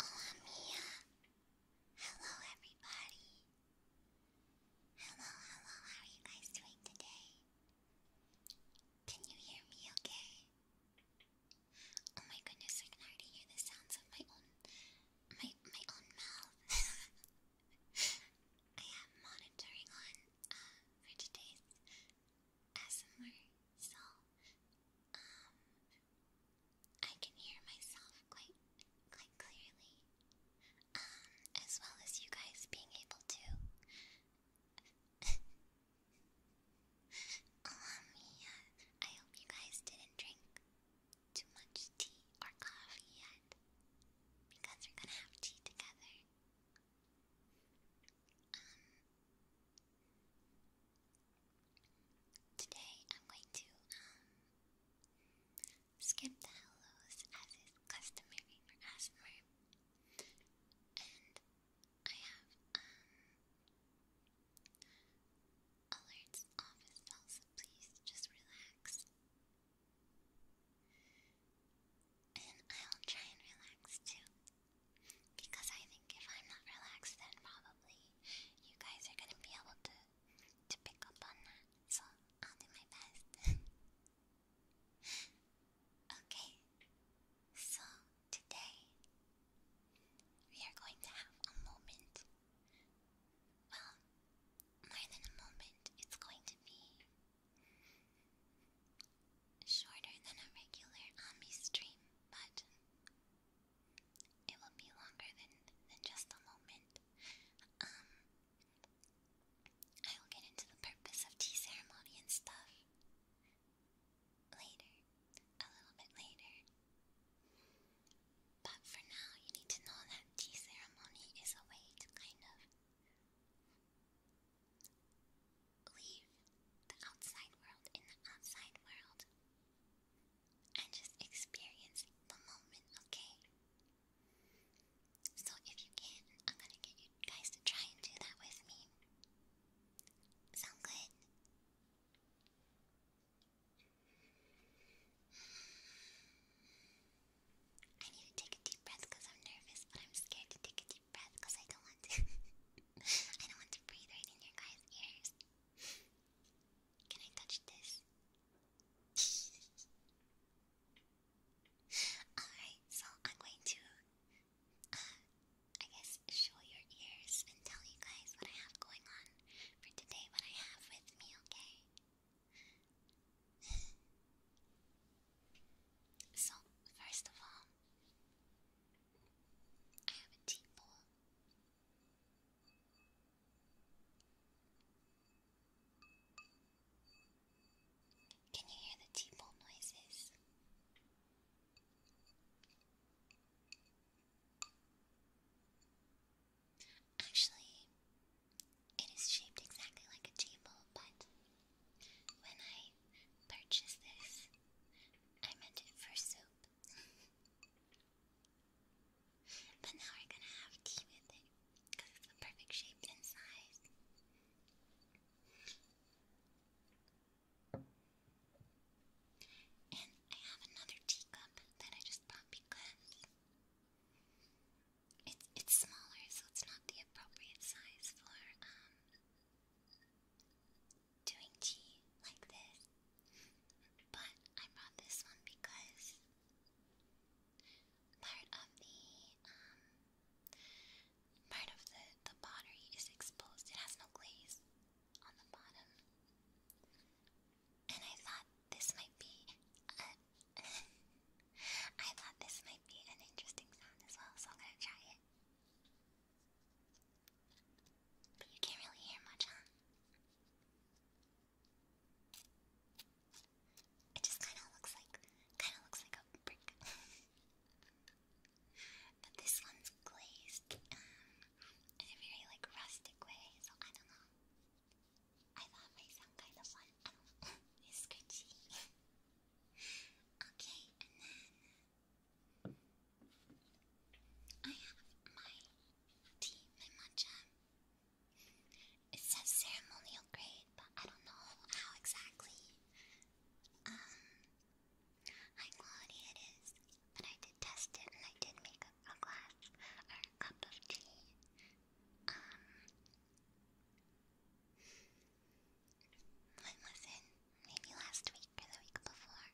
Hola Mia! Hello everybody! Hello, hello, how are you guys doing today? Can you hear me okay? Oh my goodness, I can already hear the sounds of my own my my own mouth. I have monitoring on uh, for today's ASMR, so um, I can hear myself quite quite clearly, um, as well as you guys being able to um, yeah, I hope you guys didn't drink too much tea or coffee yet, because we're gonna have tea together today I'm going to um, skip the hellos as is customary for ASMR. And I have um, alerts off as please just relax. And I'll try and relax too. Because I think if I'm not relaxed, then probably you guys are gonna be able to to pick up on that. So I'll do my best. okay. So today we are going to have a moment. Well, more than a moment, it's going to be shorter than a regular Ami stream, but it will be longer than, than just a moment. Um, I will get into the purpose of tea ceremony and stuff later, a little bit later. But for now, you need to know that tea ceremony is a way to kind of leave the outside world in the outside world and just experience the moment, okay? So if you can, I'm gonna get you guys to try and do that with me. Sound good? I need to take a deep breath because I'm nervous, but I'm scared to take a deep breath because I don't want to. I don't want to breathe right in your guys' ears. Can I touch this? Alright, so I'm going to, uh, I guess, show your ears and tell you guys what I have going on for today, what I have with me, okay? so, first of all, I have a tea Can you hear the tea noises? Actually, it is shaped exactly like a tea but when I purchased this, I meant it for soup. but now we're gonna have tea with it because it's the perfect shape and size. And I have another teacup that I just bought because it's it's smaller, so it's not the appropriate size for um doing tea like this, but I brought this one because part of the um, part of the the pottery is exposed. It has no glaze on the bottom, and I thought this might be. A I thought this might be an interesting sound as well, so I'm gonna try it. But you can't really hear much, huh? It just kind of looks like, kind of looks like a brick. but this one's glazed um, in a very like rustic way, so I don't know. I thought might sound kind of fun. it's scratchy. okay, and then I have my tea, my matcha. It says ceremonial grade, but I don't know how exactly um, high quality it is. But I did test it and I did make a, glass or a cup of tea. Um, when was it? Maybe last week or the week before?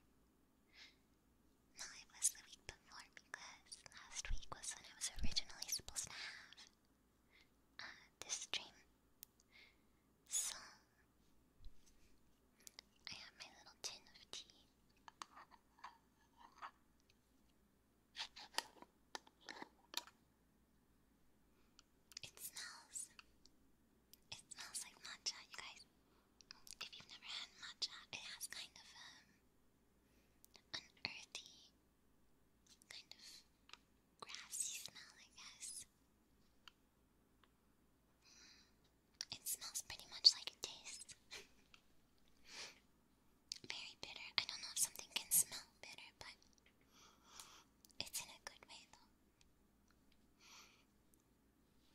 No, it was the week before because last week was when I was originally supposed to have uh, this dream. So, I have my little tin of tea. It smells it smells like matcha, you guys. If you've never had matcha, it has kind of um, an earthy, kind of grassy smell, I guess. It smells pretty much like it tastes. Very bitter. I don't know if something can smell bitter, but it's in a good way though. Okay, and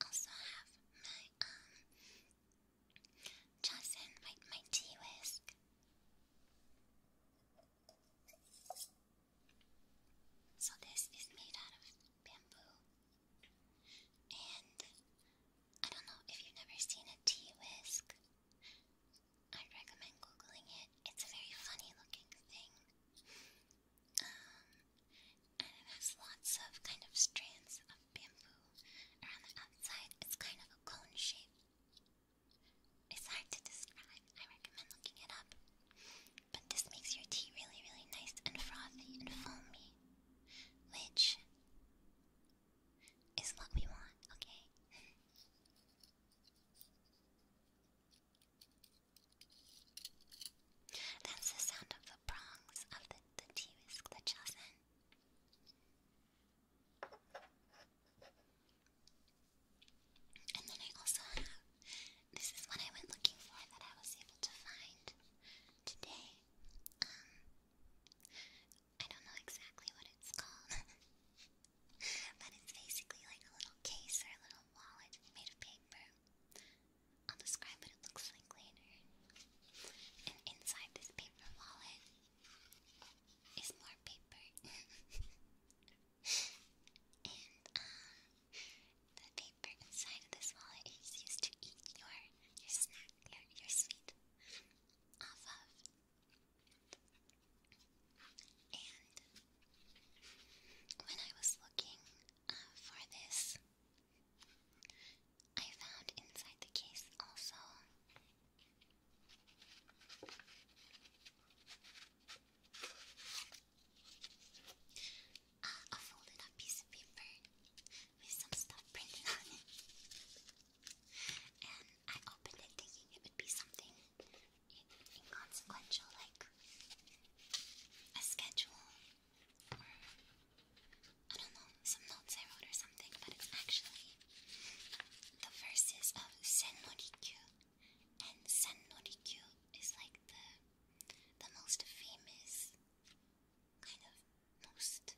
I also have my um Jocelyn, my my tea whisk. So this is made out of bamboo. And I don't know if you've never seen a tea whisk. i recommend googling it. It's a very funny looking thing. Um, and it has lots of kind of strands of bamboo around the outside. It's kind of a cone shape. It's hard to describe. I recommend looking it up. But this makes your tea really, really nice and frothy and foamy which is what we want, okay? That's the sound of the prongs of the, the t And then I also have, this is what I went looking for that I was able to find today. Um, I don't know exactly what it's called, but it's basically like a little case or a little wallet made of paper. I'll describe what it looks like later. And inside this paper wallet is more paper. and um, the paper inside this wallet is used to eat your your snack, your your sweet off of. And when I was looking uh, for this, I found inside the case also uh, I folded a piece of paper with some stuff printed on it. And I opened it thinking it would be something inconsequential like a schedule or I don't know, some notes I wrote or something, but it's actually the verses of Sen Norikyu. And Sen Norikyu is like the the most famous kind of most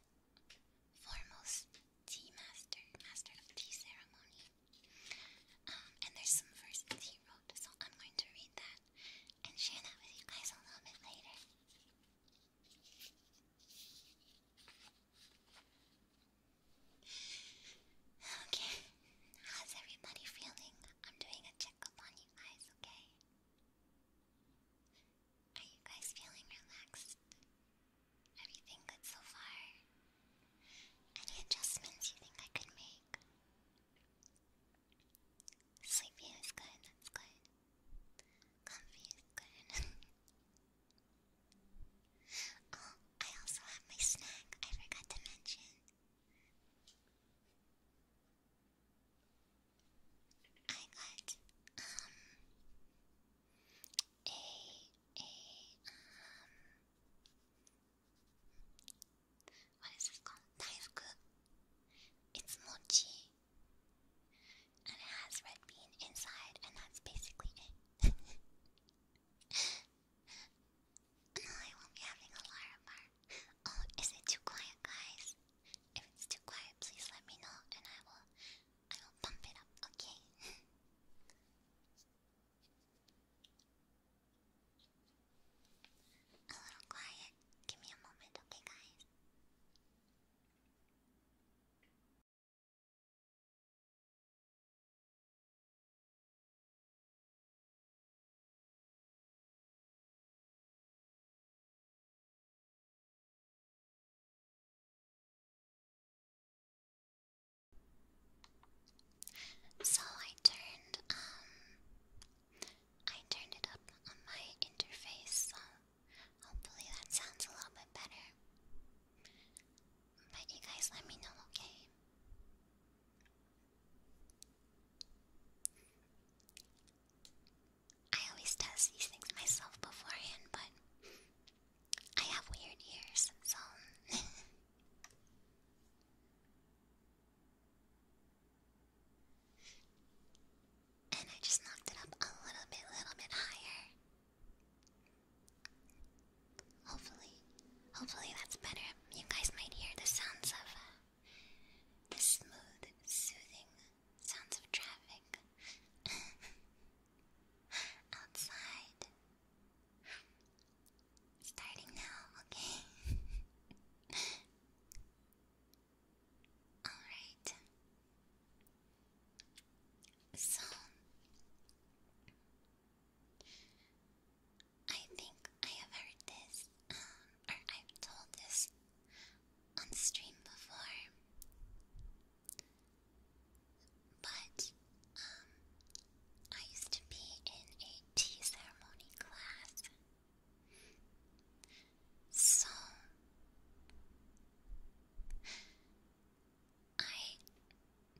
foremost tea master, master of tea ceremony. Um, and there's some verses he wrote, so I'm going to read that and share that with you guys a little bit later. Okay, how's everybody feeling? I'm doing a checkup on you guys, okay? Are you guys feeling relaxed? Everything good so far? Any adjustments you think I could make? Sleepy is good, that's good. Comfy is good. oh, I also have my snack I forgot to mention. I got um a a um what is this called? Taifuku. It's mochi. And it has red bean inside, and that's basically it. I won't be having a Larva. Oh, is it too quiet, guys? If it's too quiet, please let me know, and I will, I will pump it up. Okay. a little quiet. Give me a moment, okay, guys. So I turned um I turned it up on my interface, so hopefully that sounds a little bit better. But you guys let me know, okay? I always test these things myself beforehand, but I have weird ears, so. and I just knocked it up a little bit, little bit higher. Hopefully, hopefully that's better. You guys might hear the sounds of uh, the smooth, soothing sounds of traffic outside. Starting now, okay? Alright. So, I think I have heard this, um, or I've told this on stream before. But um I used to be in a tea ceremony class. So I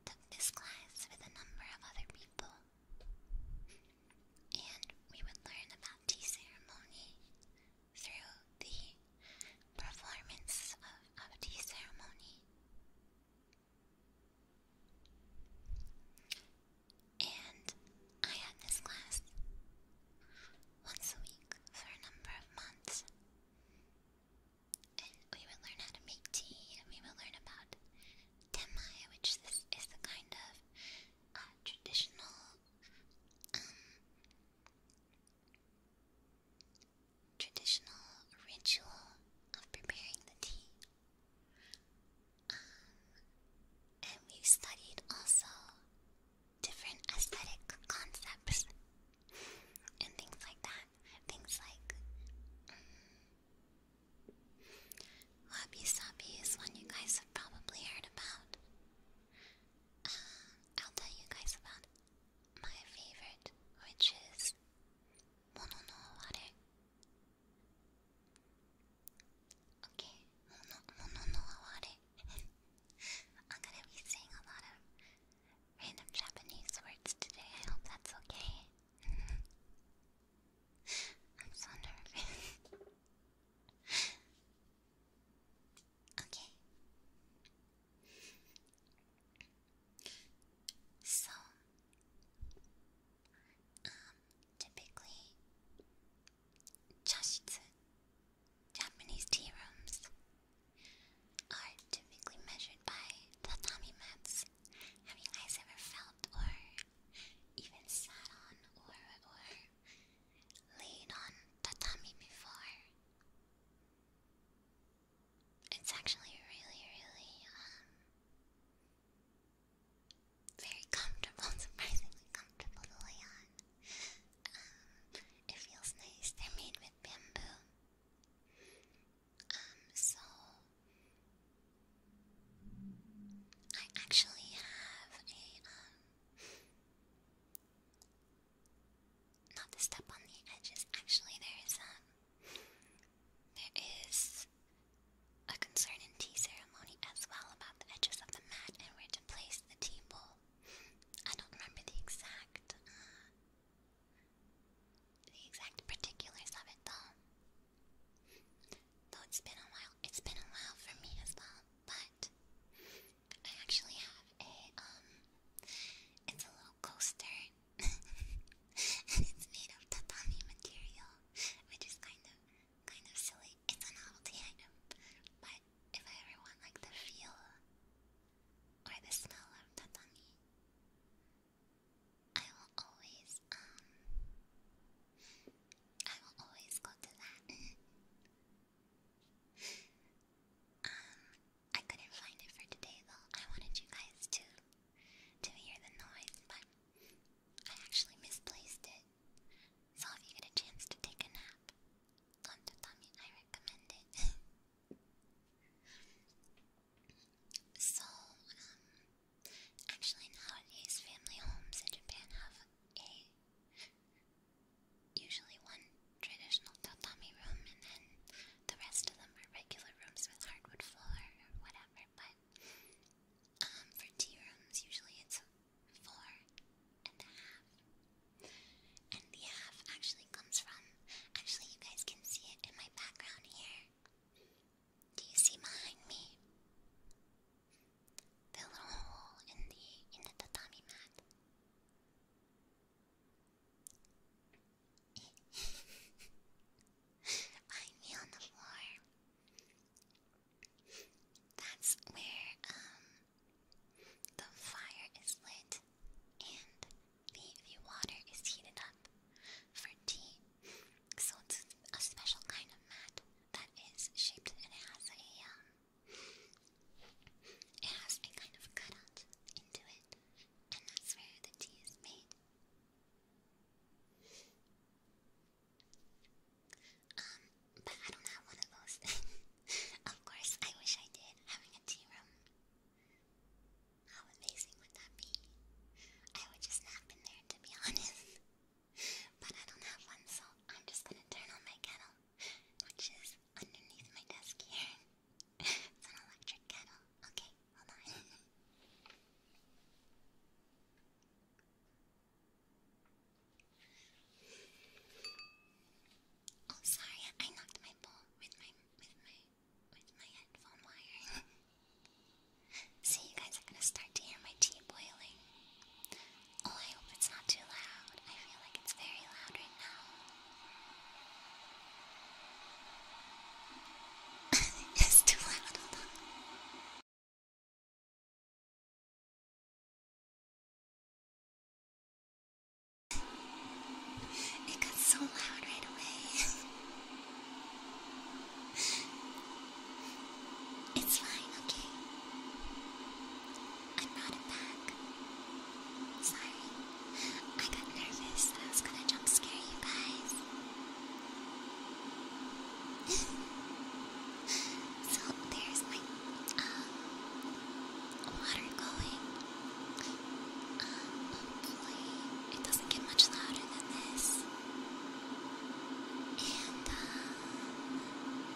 took this class with a number of other people and we would learn about tea ceremony through the performance of, of the ceremony. And I had this class once a week for a number of months. And we would learn how to make tea, and we would learn about temai, which this is the kind of uh, traditional traditional ritual of preparing the tea. Um, and we studied also different aesthetic concepts and things like that. Things like um, wabi sabi is one you guys have probably heard about. I'll tell you guys about my favorite, which is Mono Okay, Mono, I'm gonna be saying a lot of random Japanese words today. I hope that's okay. I'm so nervous. Okay. So, um, typically, chashitsu, Japanese tea rooms, are typically measured by tatami mats. Have you guys ever felt or even sat on or or laid on tatami before. It's actually really, really, um, very comfortable, surprisingly comfortable to lay on. Um, it feels nice. They're made with bamboo. Um, so I actually have a um not to step on the edges. Actually, um, there is a concern in tea ceremony as well about the edges of the mat and where to place the tea bowl. I don't remember the exact, uh, the exact particulars of it though. Though it's been a while, it's been a while for me as well. But I actually have a um it's a little coaster and it's made of tatami material which is kind of kind of silly. It's a novelty item, but if I ever want like the feel or the smell of tatami I will always um I will always go to that. Um, I couldn't find it for today though. I wanted you guys to to hear the noise, but I actually misplaced it. So if you get a chance to take a nap on tatami, I recommend it. so, um, actually nowadays family homes in Japan have a usually one traditional tatami room, and then the rest of them are regular rooms with hardwood floor or whatever. But um, for tea rooms, usually it's four and a half. And the half actually comes from. Actually, you guys can see it in my background here. Do you see behind me? the little hole in the in the tatami mat. I me on the floor. That's where um the fire is lit and the the water is heated up for tea. So it's a special kind of mat that is shaped and has a um it has a kind of cutout into it, and that's where the tea is made. Um, but I don't have one of those. of course, I wish I did, having a tea room. How amazing would that be? I would just nap in there, to be honest. but I don't have one, so I'm just gonna turn on my kettle which is underneath my desk here. it's an electric kettle. Okay, hold on. oh, sorry, I knocked my bowl with my with my with my headphone wire. so you guys are gonna start to hear my tea boiling. Oh, I hope it's not too loud. I feel like it's very loud right now. it's too loud, It got so loud right away. it's fine, okay? I brought it back. Sorry. I got nervous that I was gonna jump scare you guys. so there's like um, water going. Um, hopefully it doesn't get much louder than this. And um I'll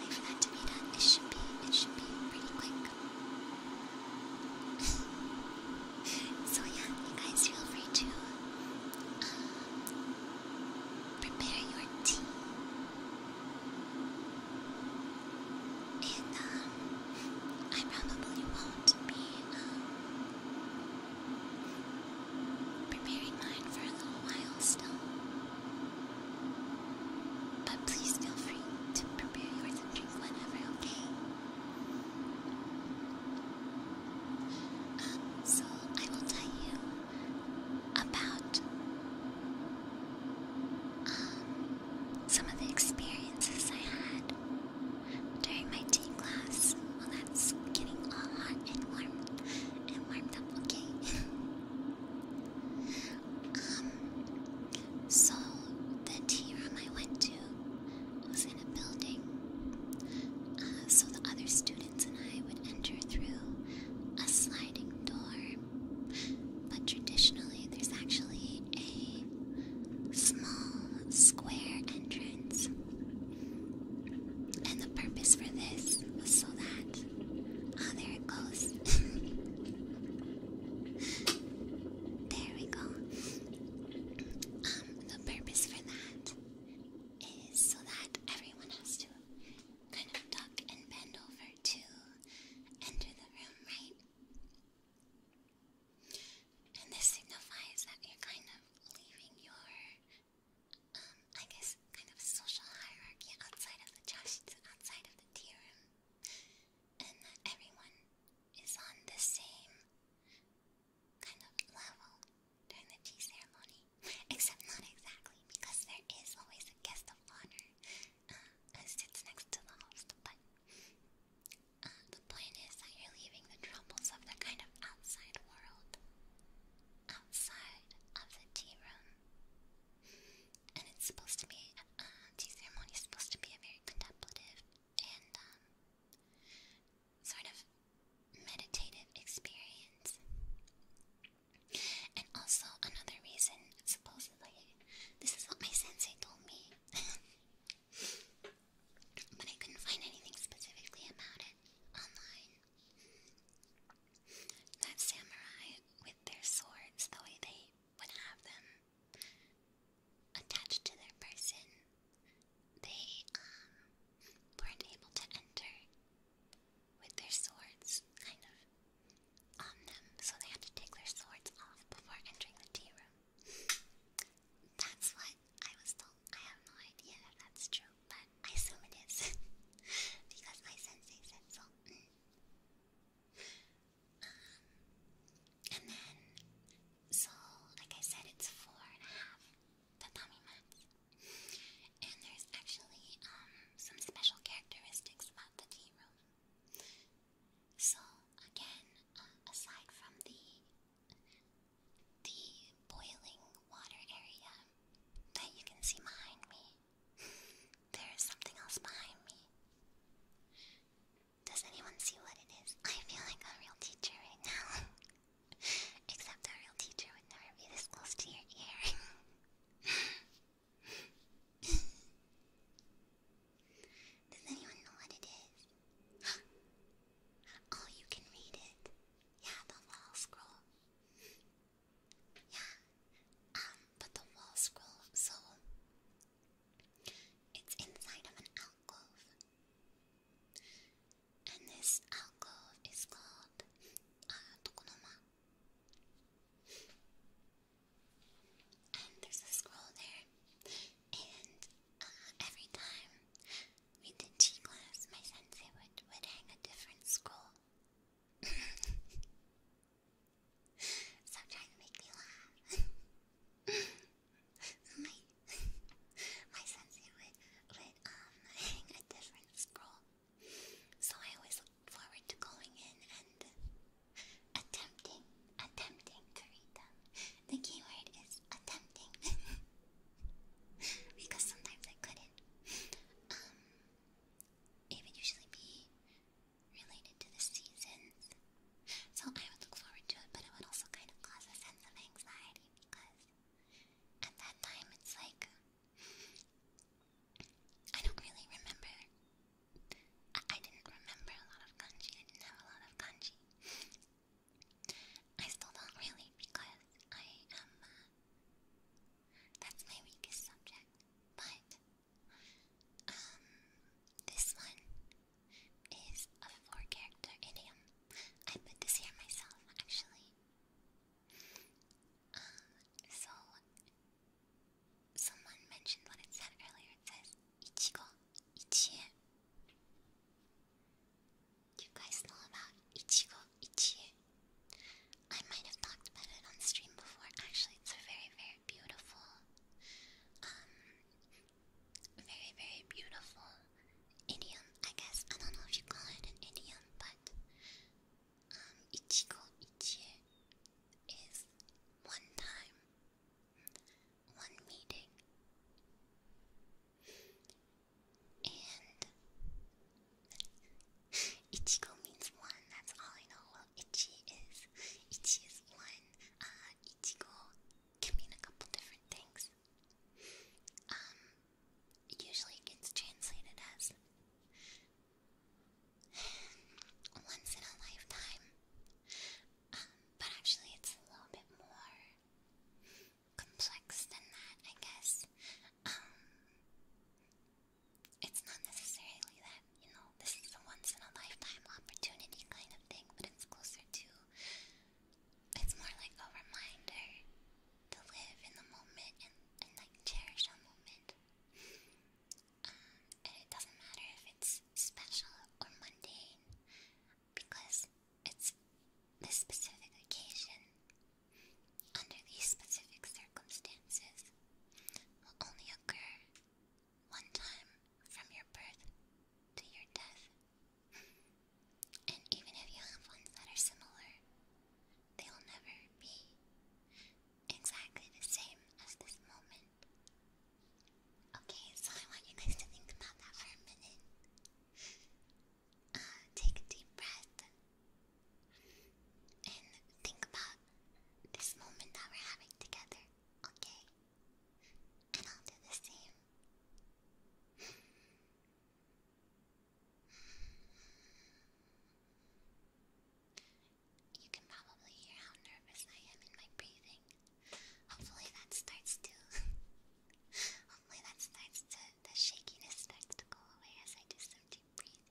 wait that to be done. It should be, it should be pretty quick. so yeah, you guys feel free to prepare your tea. And um, I probably won't be um, preparing mine for a little while still. But please feel free to prepare yours and drink whenever, okay? Um, so I will tell you about um, some of the experiences I had during my tea class. Well, that's getting all hot and warm and warmed up, okay? Um, so the tea room I went to was in a building. Uh, so the other students and I would enter through a sliding door. But traditionally, there's actually a small square entrance. And the purpose for this was so that goes. Oh, there it goes. there we go. Um, the purpose for that is so that everyone has to kind of duck and bend over to enter the room, right? And this signifies that you're kind of leaving your um, I guess, kind of a social hierarchy outside of the chashits, outside of the tea room, and that everyone is on the same kind of level during the tea ceremony. Except not exactly, because there is always a guest of honor uh, sits next to the host, but. Uh, the point is that you're leaving the troubles of the kind of outside world, outside of the tea room. And it's supposed to be, uh, tea ceremony supposed to be a very contemplative and, um, sort of meditative experience. And also, another reason, supposedly, this is what my sensei told me, but I couldn't find anything specifically about it online. Not samurai with their swords the way they would have them attached to their person. They um, weren't able to enter with their swords kind of on them, so they had to take their swords off before entering the tea room. That's what I was told. I have no idea if that's true but I assume it is because my sensei said so. Mm. Um, and then, so like I said, it's four and a half tatami mats, and there's actually um some special characteristics about the tea room. So again, uh, aside from the the boiling water area that you can see behind me, there is something else behind me. Does anyone see what it is? I feel like a real teacher right now. Except a real teacher would never be this close to your ear. Does anyone know what it is? oh, you can read it. Yeah, the wall scroll. Yeah, um, but the wall scroll, so it's inside of an alcove. And this alcove is called uh, And there's a scroll there. And uh, every time we did G class, my sensei would, would hang a different scroll Stop trying to make me laugh. my my sensei would would um hang a different scroll, so I always looked forward to going in and attempting attempting to read them. The keyword is attempting because sometimes I couldn't. Um, it would usually be related to the seasons. So I would look forward to it, but it would also kind of cause a sense of anxiety because at that time it's like I don't really remember. I, didn't remember a lot of kanji. I didn't have a lot of kanji. I still don't really because I am. Uh, that's my weakest subject. But um this one is a four character idiom. I put this here myself actually. Um so someone mentioned what it said earlier. It says Ichigo Ichie. Do you guys know about Ichigo Ichie? I might have talked about it on stream before. Actually, it's a very, very beautiful, um, very, very beautiful idiom, I guess. I don't know if you call it an idiom, but um, ichigo ichie is one time, one meeting. And Ichigo means one, that's all I know. Well, Ichi is, Ichi is one. Uh, Ichigo can mean a couple different things. Um, usually it gets translated as once in a lifetime. Um, but actually it's a little bit more complex than that, I guess. Um, it's not necessarily that, you know, this is a once in a lifetime opportunity kind of thing, but it's closer to. It's more like a reminder to live in the moment and, and like cherish a moment. Um, and it doesn't matter if it's special or mundane, because it's this specific occasion under these specific circumstances will only occur one time from your birth to your death. And even if you have ones that are similar, they will never be exactly the same as this moment. Okay, so I want you guys to think about that for a minute. Uh, take a deep breath. And think about this moment that we're having together, okay? And I'll do the same. You can probably hear how nervous I am in my breathing. Hopefully that starts to hopefully that starts to the shakiness starts to go away as I do some deep breathing.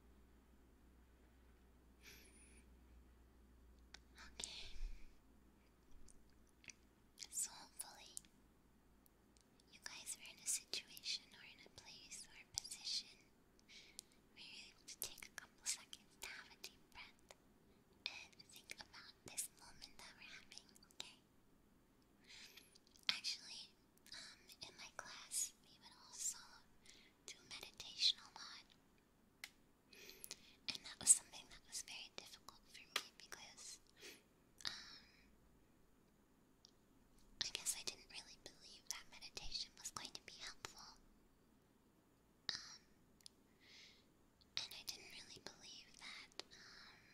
Okay. So hopefully, you guys were in a situation or in a place or position where you're able to take a couple seconds to have a deep breath and think about this moment that we're having, okay? Actually, um, in my class, we would also do meditation a lot. And that was something that was very difficult for me because, um, I guess I didn't really believe that meditation was going to be helpful. Um, and I didn't really believe that, um,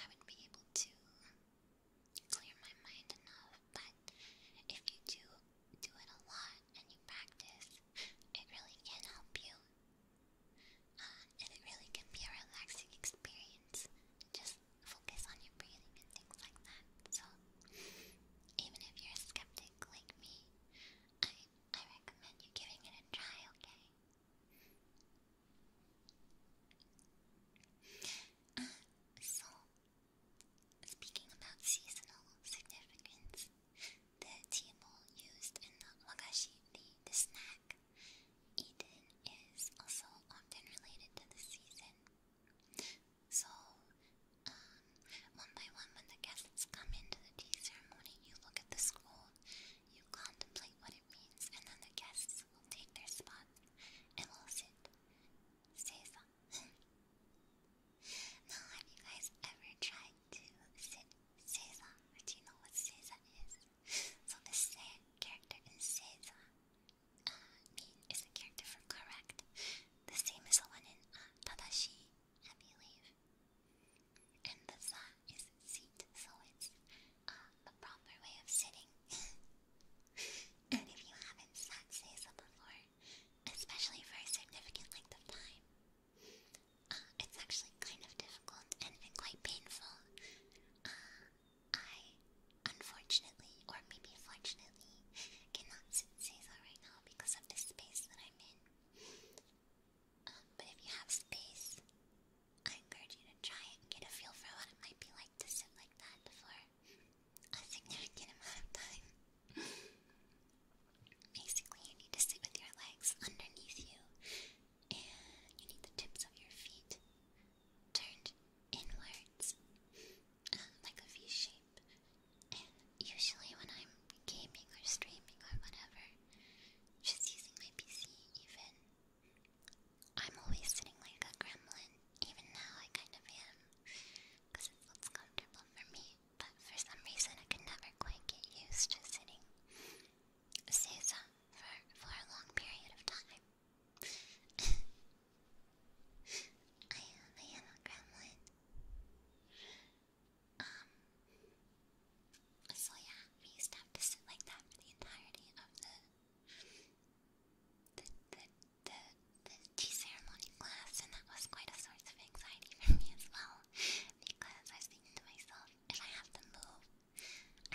I would be able to clear my mind enough, but if you do do it a lot and you practice, it really can help you. Uh, and it really can be a relaxing experience. Just focus on your breathing and things like that. So, even if you're a skeptic like me, I, I recommend you giving it a try, okay? Uh, so, Speaking about seasonal significance, the tea bowl used in the wagashi, the, the snack, eaten is also often related to the season. So, um, one by one, when the guests come into the tea ceremony, you look at the scroll, you contemplate what it means, and then the guests will take their spot and will sit say now, have you guys ever tried to sit Seiza? Do you know what Seiza is? so, the same character in Seiza uh, is the character for correct. The same as the one in uh, Tadashi, I believe. And the za is seat, so it's uh, proper way of sitting. And if you haven't sat Seiza before, especially for a significant length of time, uh, it's actually kind of difficult and, quite painful. Uh, I, unfortunately, or maybe fortunately, cannot sit Seiza right now because of the space that I'm in. Um, but if you have space, I encourage you to try it and get a feel for what it might be like like to sit like that for a significant amount of time. Basically, you need to sit with your legs underneath you, and you need the tips of your feet turned inwards, um, like a V shape. And usually, when I'm gaming or streaming or whatever, just using my PC even, I'm always sitting like a gremlin. Even now, I kind of am. Because it's looks comfortable for me. But for some reason, I can never quite get used to sitting for, for a long period of time. I am a gremlin. Um, so yeah, we used to have to sit like that for the entirety of the the, the the, the tea ceremony class, and that was quite a source of anxiety for me as well. Because I was thinking to myself, if I have to move,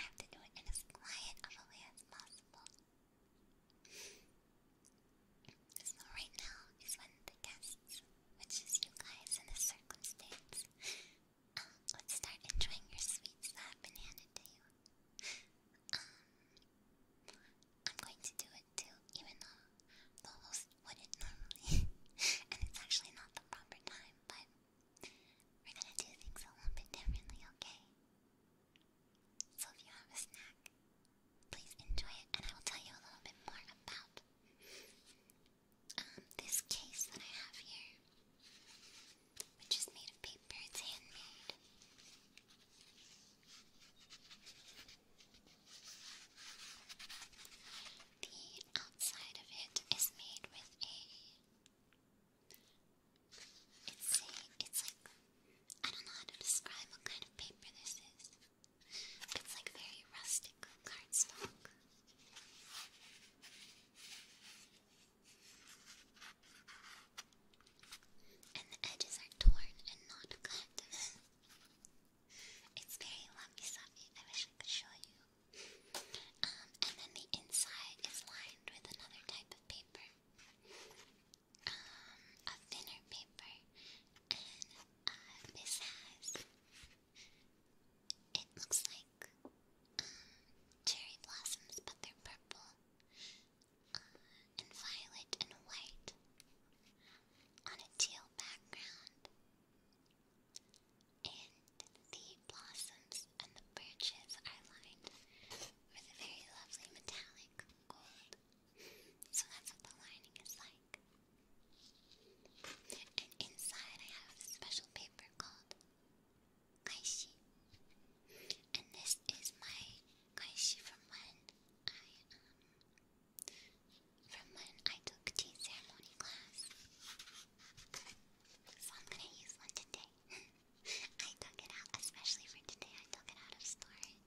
I have to do it in as quiet of a way as possible. So right now is when the guests, which is you guys in this circumstance, um, would start enjoying your sweets that I've um, I'm going to do it too, even though Lolos wouldn't normally, and it's actually not the proper time, but we're gonna do things a little bit differently, okay? So if you have a snack, please enjoy it, and I will tell you a little bit more about um, this case that I have here, which is made of paper, it's handmade. The outside of it is made with a. It's a. It's like. I don't know how to describe what kind of paper this is. It's like very rustic cardstock and the edges are torn and not cut. it's very lumpy, sumpy. I wish I could show you. Um, and then the inside is lined with another type of paper, um, a thinner paper, and uh, this has. It looks like um, cherry blossoms, but they're purple. And violet and white on a teal background. And the blossoms and the branches are lined with a very lovely metallic gold. So that's what the lining is like. And inside I have a special paper called Kaishi. And this is my Gosh, from when I, um, from when I took tea ceremony class. So I'm gonna use one today. I took it out, especially for today, I took it out of storage.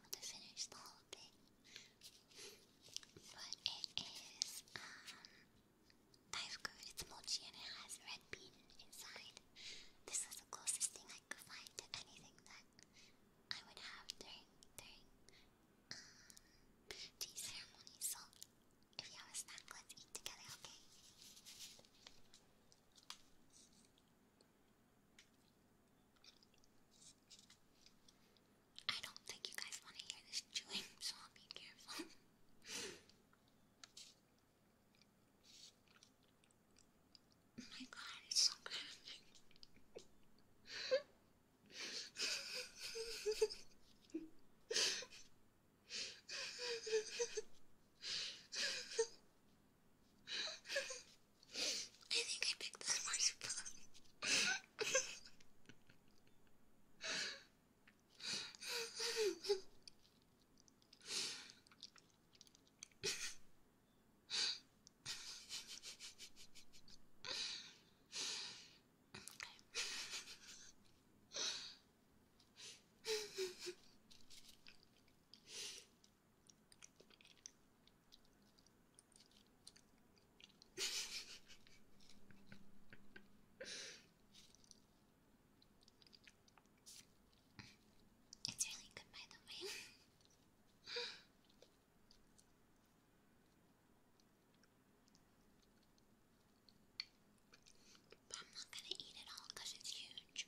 i to finish the whole thing. But it is um dive good, it's mochi and it has red bean inside. This was the closest thing I could find to anything that I would have during during um tea ceremony. So if you have a snack, let's eat together, okay? I don't think you guys want to hear this chewing, so I'll be careful. oh my god, it's so good. I think I picked that marshmallow. okay it's really good, by the way. but I'm not gonna eat it all because it's huge.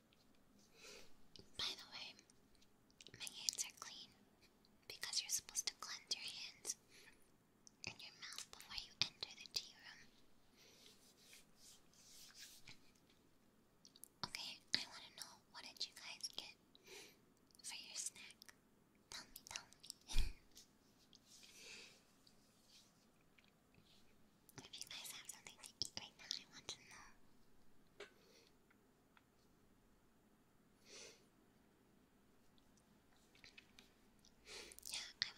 By the way, my hands are clean because you're supposed to cleanse your hands and your mouth before you enter the tea room. Okay, I want to know what did you guys get for your snack? Tell me, tell me. If you guys have something to eat right now, I want to know. Yeah, I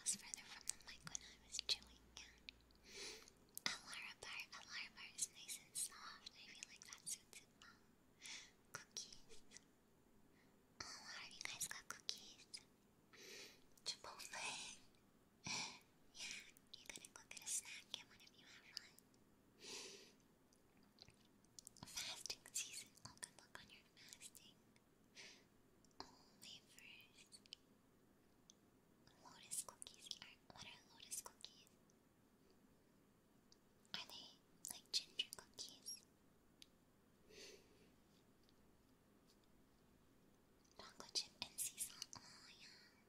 was further from the mic when I was chewing, yeah. Alarabar, Alarabar is nice and soft. I feel like that suits it well. Cookies. Alar, you guys got cookies? Chipotle. yeah, you couldn't look a snack and one of you have one. Fasting season. Oh, good luck on your fasting. Only first. Lotus cookies What are lotus cookies? Are they like ginger cookies? Mango chip and sea salt. Oh, yeah.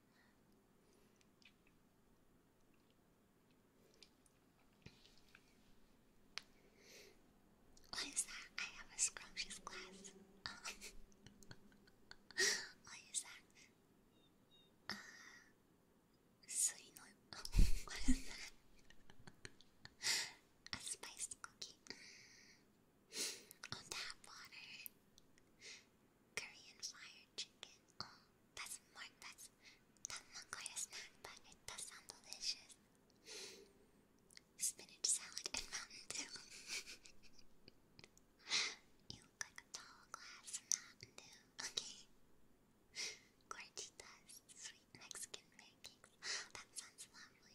What is that? I have a scrumptious glass. what is that? Uh, so you what is that? a spiced cookie. Oh, that water. Korean fried chicken. Oh, that's more, that's, that's not quite a snack, but it does sound delicious. Spinach salad and Mountain Dew. you look like a tall glass of Mountain Dew. Okay. Gorditas, sweet Mexican pancakes. Oh, that sounds lovely.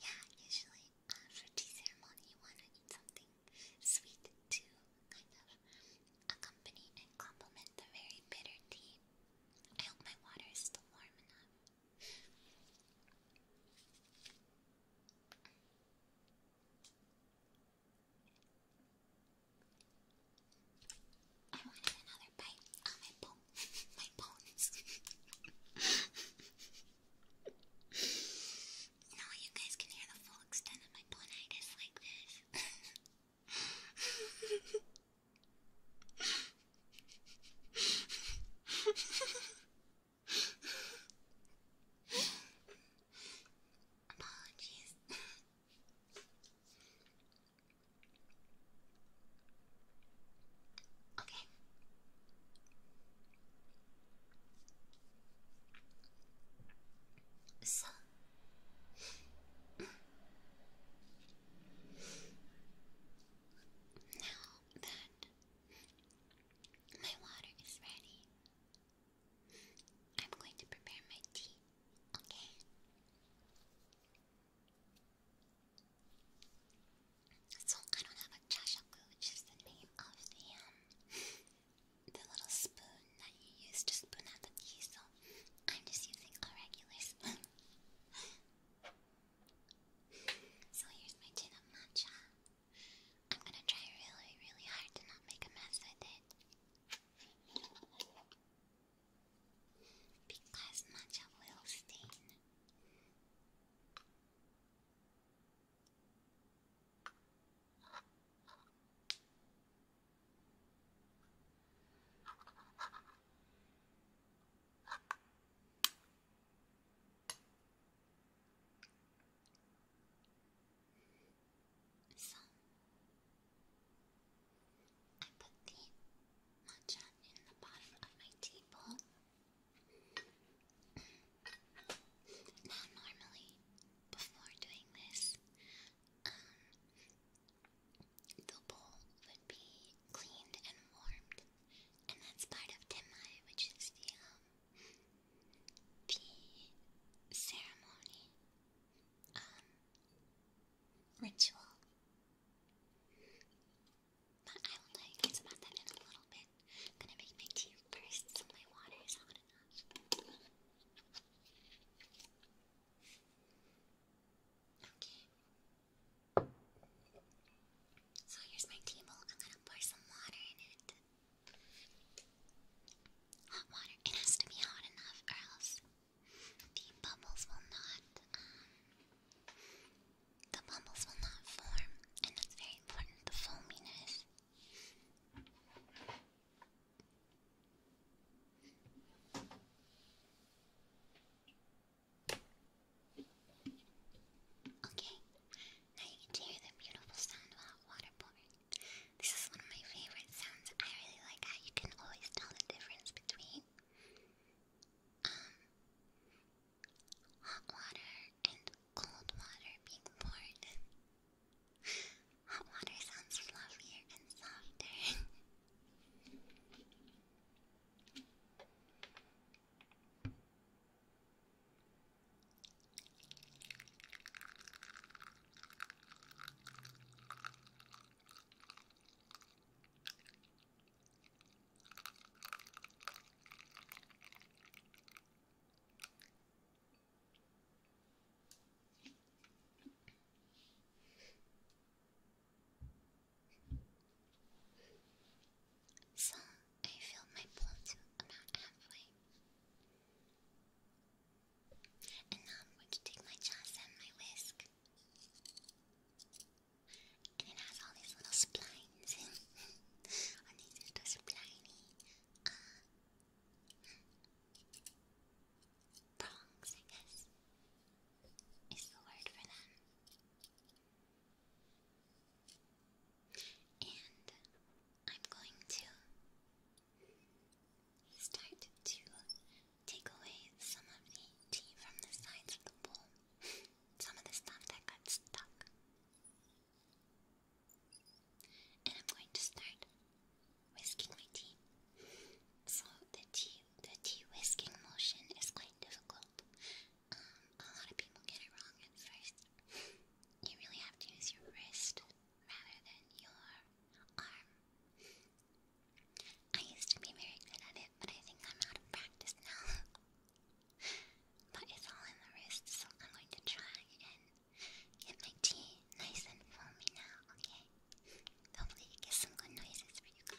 Yeah, usually uh, for tea ceremony you want to eat something sweet to kind of accompany and complement the very bitter tea. I hope my water is still warm enough. I wanted another bite. Oh, my bone. my bones. Now you guys can hear the full extent of my bonitis like this. Apologies. okay. さあ now that my water is ready, I'm going to prepare my tea, okay? So I don't have a chashaku, which the name of the um the little spoon that you use to spoon out the tea, so I'm just using a regular spoon. so here's my tin of matcha. I'm gonna try really, really hard to not make a mess with it. Because matcha will stain. So I put the matcha in the bottom of my tea bowl. now normally before doing this, um, the bowl would be cleaned and warmed, and that's part of Timai, which is the um, the ceremony um ritual. But I will tell you guys about that in a little bit. I'm gonna make my tea first so my water is hot enough. Okay. So here's my table. I'm gonna pour some water in it. Hot water. It has to be hot enough, or else the bubbles will not. Um, the bubbles will not form, and that's very important. The foaminess. Okay, now you can hear the beautiful sound of hot water pouring. This is one of my favorite sounds. I really like how you can always tell the difference between um, hot water and cold water being poured. Hot water sounds fluffier and softer. So I feel my plot about halfway. And now I'm going to take my chance and my whisk. And it has all these little splines. I need to spliney. Uh, prongs, I guess, is the word for them. And I'm going to start to take away some of the tea from the sides of the bowl, some of the stuff that got stuck. And I'm going to start whisking my tea. So the tea, the tea whisking motion is quite difficult. Um, a lot of people get it wrong at first. You really have to use your wrist rather than your arm. I used to be very good at it, but I think I'm out of practice now. but it's all in the wrist, so I'm going to try and Get my tea nice and foamy now, okay? Hopefully, get some good noises for you guys.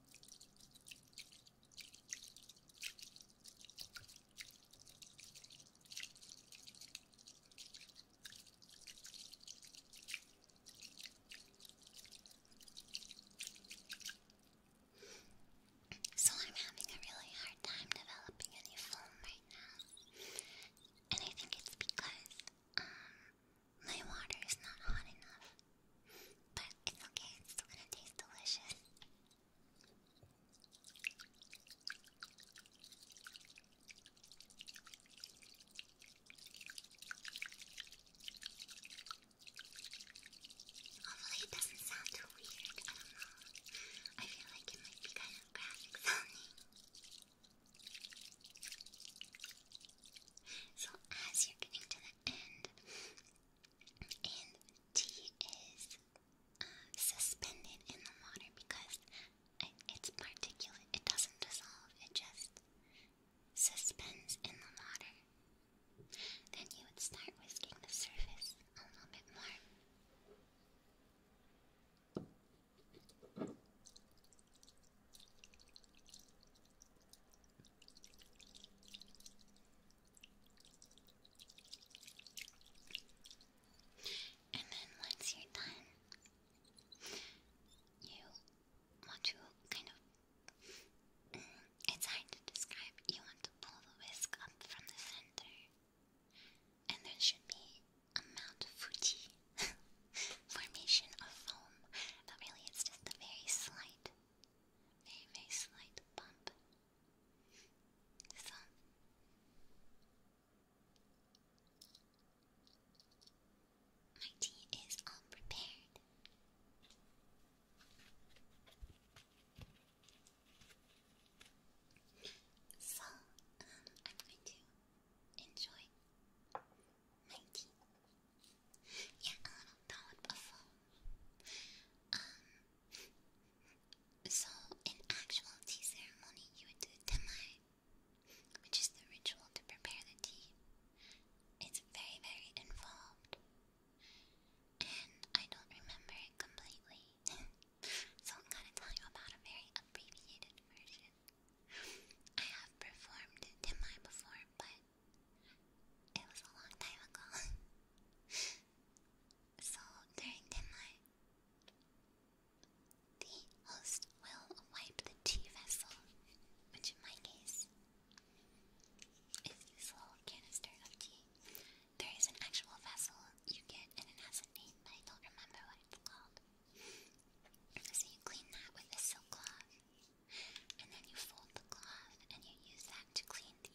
So I'm having a really hard time developing a film right now. And I think it's because, um, my water is not hot enough, but it's okay, it's still gonna taste delicious. Hopefully, it doesn't sound too weird. I don't know. I feel like it might be kind of graphic sounding. So, as you're getting to the and and tea is uh, suspended in the water because it's particulate. It doesn't dissolve. It just suspends in the water. Then you would start whisking the surface a little bit more. And then once you're done, you want to kind of. Mm, it's hard to describe. You want to pull the whisk up from the center, and there should be a Mount Fuji formation of foam, but really it's just a very slight Name a slight bump. Sun. My tea is unprepared. So, um, I'm going to enjoy yeah, a little down buffalo. Um, so in actual tea ceremony, you would do temai, which is the ritual to prepare the tea. It's very, very involved, and I don't remember it completely, so I'm gonna tell you about a very abbreviated version. I have performed temai before, but it was a long time ago. so during dinner, the host will wipe the tea vessel, which in my case is this little canister of tea. There is an actual vessel you get, and it has a name, but I don't remember what it's called. So you clean that with a silk cloth and then you fold the cloth and you use that to clean the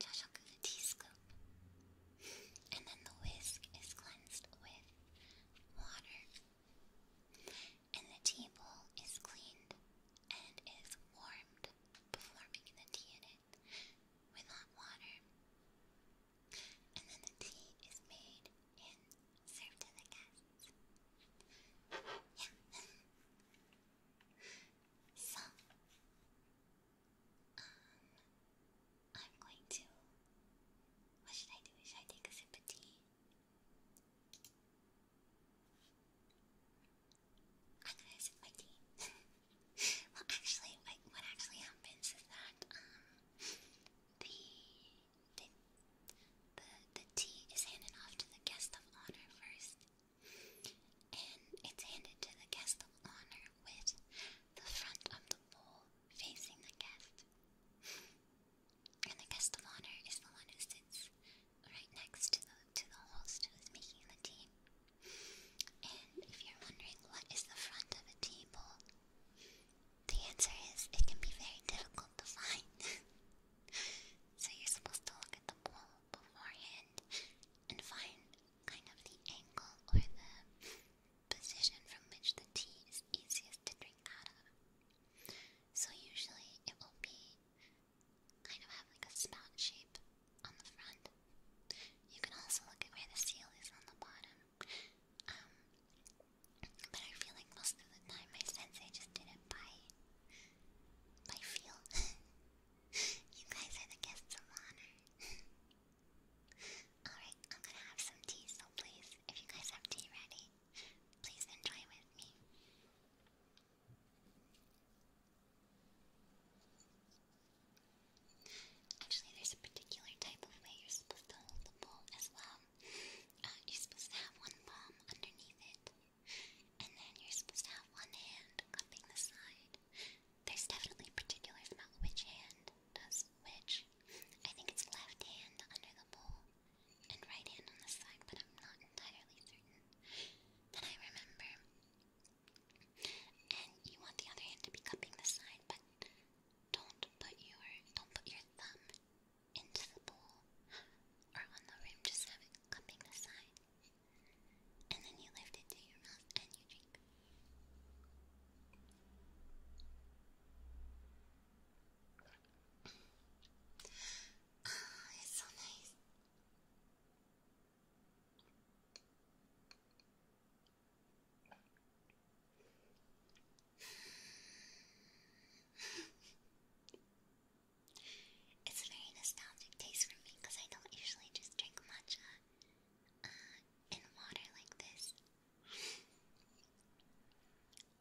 chashaku, um, the tea scoop. and then the whisk is cleansed with water. And the tea bowl is cleaned and is warmed before making the tea in it with hot water. And then the tea is made and served to the guest so, um, I'm going to. What should I do? Should I take a sip of tea? I'm gonna sip my tea. well, actually, what actually happens is that um, the the the, the tea is handed off to the guest of honor first, and it's handed to the guest of honor with the front of the bowl facing the guest. And the guest of honor is the one who sits right next to the to the host who is making the tea. And if you're wondering what is the front of a table, the answer is it can be very difficult to find. so you're supposed to look at the bowl beforehand and find kind of the angle or the position from which the tea is easiest to drink out of. So usually it will be kind of have like a spout shape on the front. You can also look at where the seal is on the bottom. Um, but I feel like most of the time my sensei just did it I feel. you guys are the guests of honor. Alright, I'm gonna have some tea, so please, if you guys have tea ready, please enjoy with me. Actually, there's a particular type of way you're supposed to hold the bowl as well. Uh, you're supposed to have one palm underneath it and then you're supposed to have one hand cupping the side. There's definitely particulars about which hand does which. I think it's left hand under the bowl and right hand on the side, but I'm not entirely certain. Then I remember. And you want the other hand to be cupping the side, but don't put your don't put your thumb into the bowl or on the rim, just have it cupping the side. And then you lift it to your mouth and you drink. Ah, it's so nice. It's a very nostalgic taste for me because I don't usually just drink matcha uh, in water like this. Um,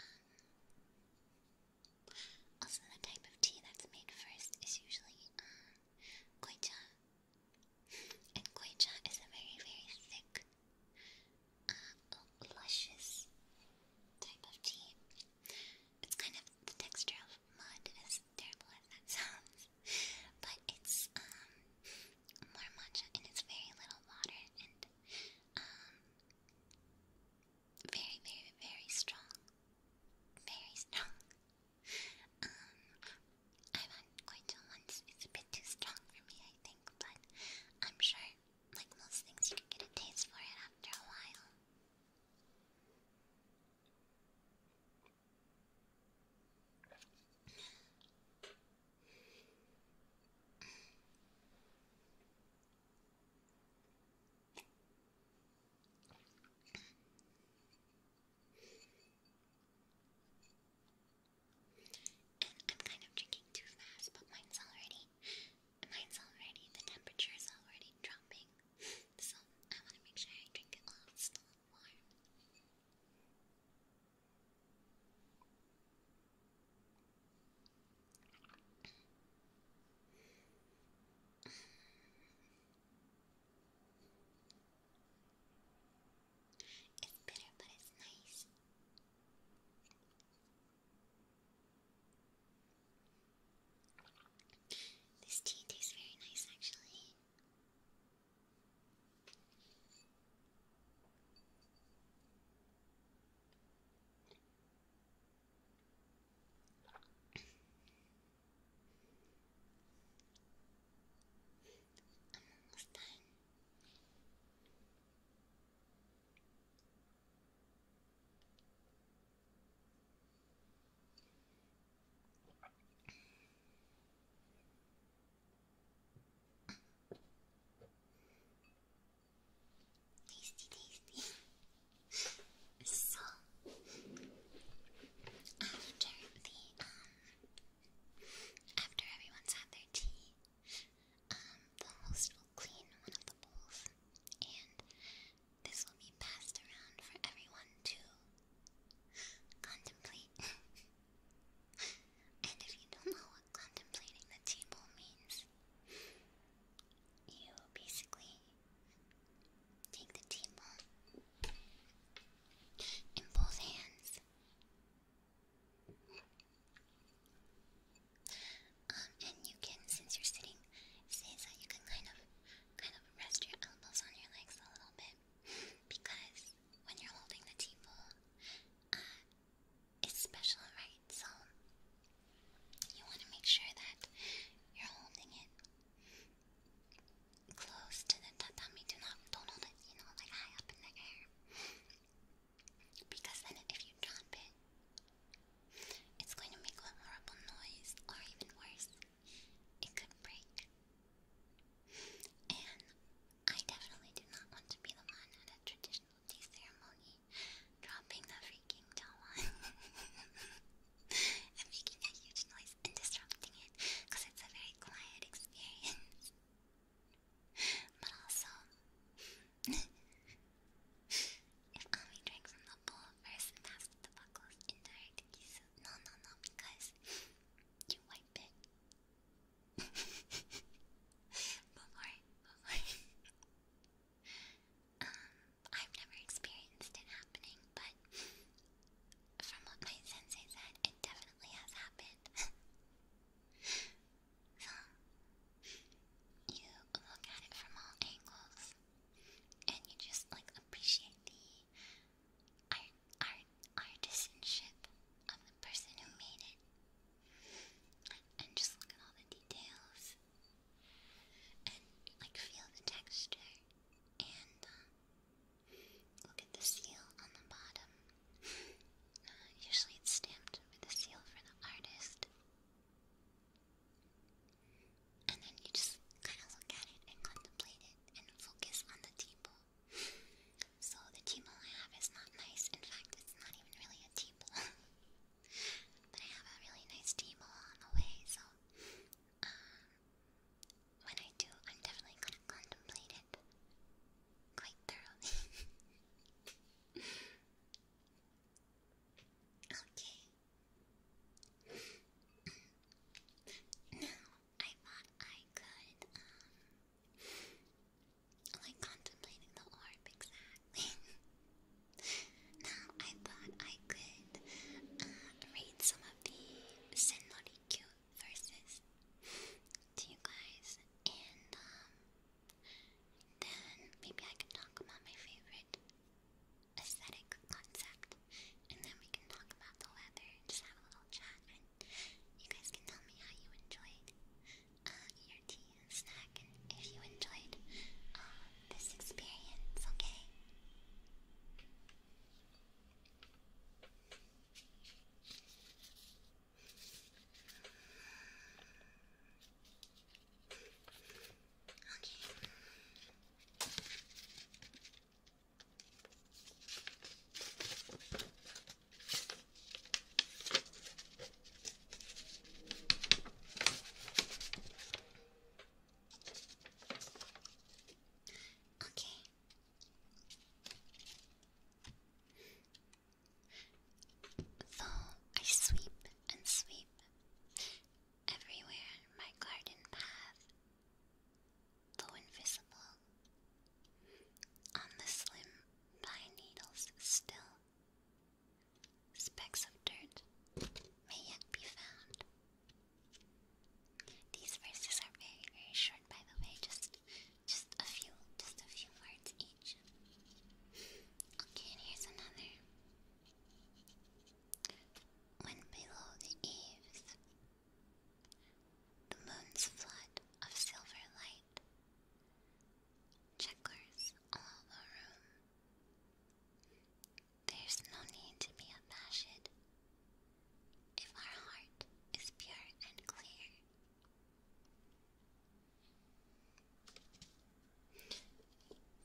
also, the type of tea that's made first is usually uh, and goicha is a very, very thick, uh, luscious type of tea. It's kind of the texture of mud, as terrible as that sounds. But it's um more matcha and it's very little water and um very, very, very strong. Very strong. Um I've had goicho once, it's a bit too strong for me I think, but I'm sure like most things you can get a taste for it after a while. And I'm kind of drinking too fast, but mine's already mine's already, the temperature is already dropping. So I want to make sure I drink it while it's still warm. It's bitter, but it's nice. This tea tastes very nice, actually. I'm almost done. Tasty, tasty. so, after the um, after everyone's had their tea, um, the host will clean one of the bowls and this will be passed around for everyone to contemplate. and if you don't know what contemplating the table means, you basically take the table in both hands. Um, and you can, since you're sitting, say that you can kind of, kind of rest your elbows on your legs a little bit, because when you're holding the tea bowl, uh, it's special, right? So you want to make sure that you're holding it close to the tatami. Do not, don't hold it, you know, like high up in the air. Because then if you drop it, it's going to make a horrible noise, or even worse, it could break. And I definitely do not want to be the one at a traditional tea ceremony dropping the freaking towel and making a huge noise and disrupting it because it's a very quiet experience. But also, if Ami drank from the bowl first and the buckles indirectly, so no, no, no, because you wipe it. but worry, um, I've never experienced it happening, but from what my sensei said, it definitely has happened. so, you look at it from all angles and you just like appreciate the art, art, artisanship of the person who made it. And just look at all the details, and like feel the texture, and uh, look at the seal on the bottom. usually it's stamped with a seal for the artist. And then you just kind of look at it and contemplate it and focus on the teepo. so the teepo I have is not nice. In fact, it's not even really a teepo. but I have a really nice teepo on the way, so um, when I do, I'm definitely gonna contemplate it quite thoroughly. okay. No, I thought I could, um, like contemplating the orb exactly. now I thought I could um, read some of the Senrikyu verses to you guys, and um, then maybe I can talk about my favorite aesthetic concept, and then we can talk about the weather and just have a little chat, and you guys can tell me how you enjoyed uh, your tea and snack, and if you enjoyed uh, this experience, okay? Okay. Though I sweep and sweep, Everywhere in my garden path, though invisible, on the slim pine needles still, specks of dirt may yet be found. These verses are very, very short, by the way. Just, just a few, just a few words each. Okay, and here's another. When below the eaves, the moon's flood of silver light checkers all the room. There's no need to be abashed if our heart is pure and clear.